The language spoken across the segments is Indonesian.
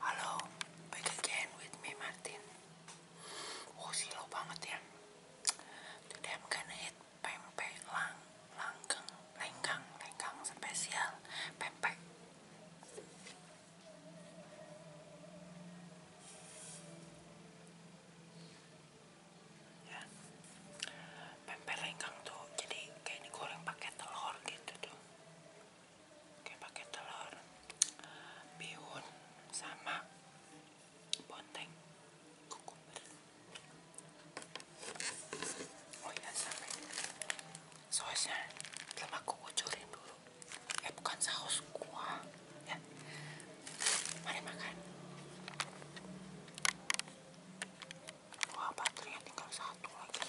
Halo, back again with me Martin. Oh silo banget ya. Today I'm gonna pempek lang, langgeng, lenggang, lenggang spesial pempek. Ya. Pempek lenggang tuh jadi kayak goreng pakai telur gitu tuh kayak pakai telur bihun sama bonteng kukumber oh ya sampai sausnya belum aku kucurin dulu eh bukan saus kuah ya. mari makan wah baterainya tinggal satu lagi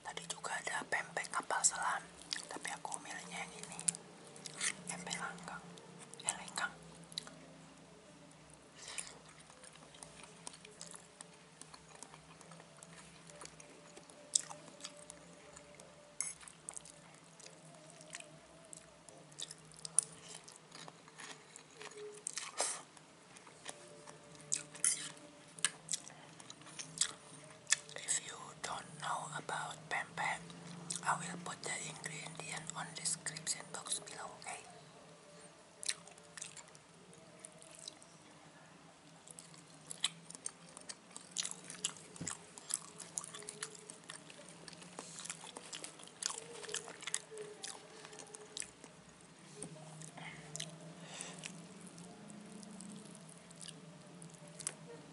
tadi juga ada pempek kapal selam tapi aku milihnya yang ini pempek langgang eh, lenggang If you don't know about pen I will put the ingredient on the description box below, okay?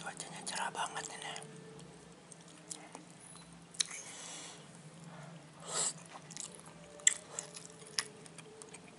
cuacanya cerah banget ini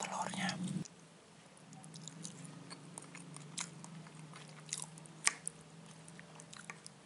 telurnya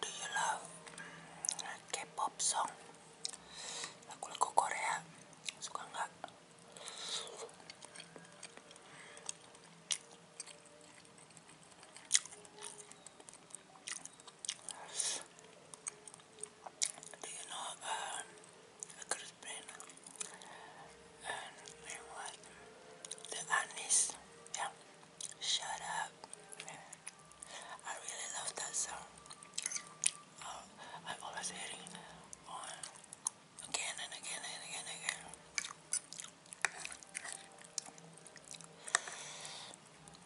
Do you love K-pop song? Lagu-lagu Korea suka nggak? Do you know, um, a crispin and what? The anise, yeah. Shut up. I really love that song. Uh, I always hear it again and again and again and again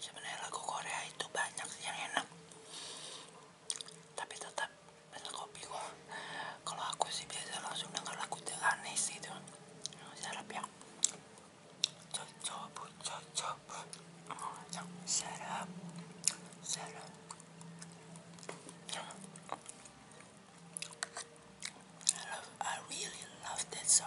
Sebenarnya lagu Korea itu banyak yang enak, tapi tetap pesan kopi gua. Kalau aku sih biasa langsung dengar lagu The Honest itu, jangan Arab ya. Shut up. Shut up. I, love, I really love that song.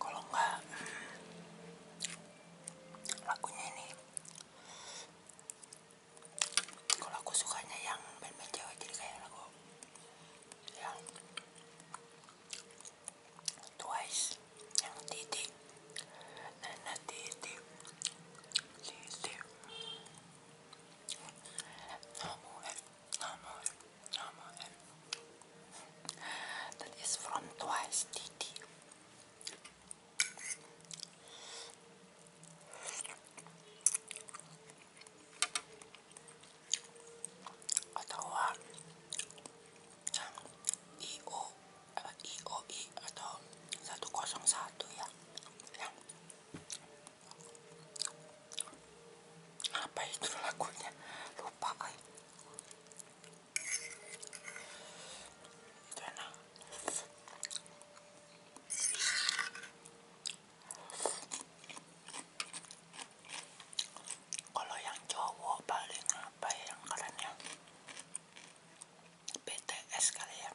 kalau enggak lagunya ini kalau aku sukanya yang band-band cewek jadi kayak lagu yang twice yang titik nana titik titik namun namun Ramonet. That Twice TT. Eh, atau ya. yang IO, eh, IOI atau 101 ya. apa itu lagunya? Lupa kalau yang cowok paling apa ya yang kerennya? BTS kali ya.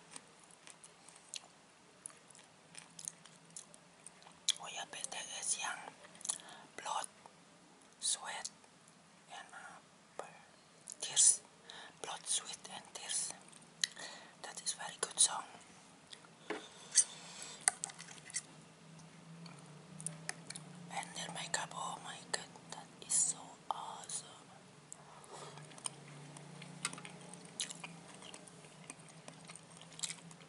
Oh ya BTS yang blood sweat and uh, tears, blood, sweat and tears. That is very good song. And their makeup, oh my god, that is so awesome.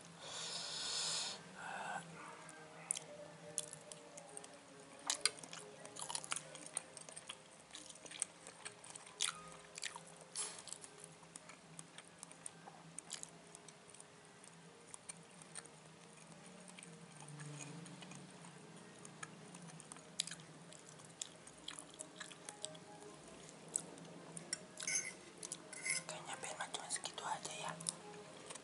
kayaknya benar cuma segitu aja ya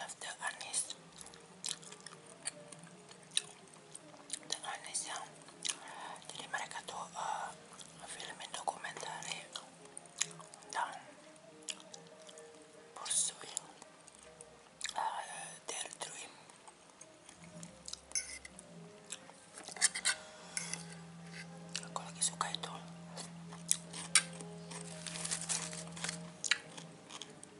love the anise the anise yang jadi mereka tuh uh, eh, filmin dokumentari tentang pursuing uh, eh, their dream aku lagi suka itu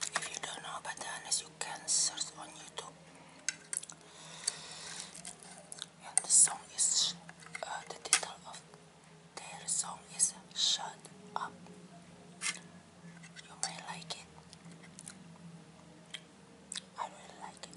if you don't know about Dionysus, you can search on YouTube. And the song is, uh, the title of their song is Shut Up. You may like it. I really like it.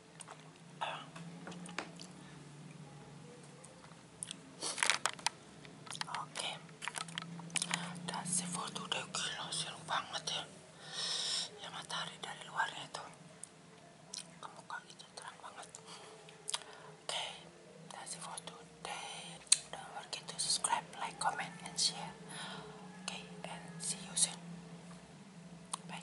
Oke. Dan seafood udah gila seru banget ya. Ya matahari dari luar itu. Kamu kok itu terang banget. Oke. That's it for today. Don't forget to subscribe, like, comment, and share. Oke, and see you soon. Bye.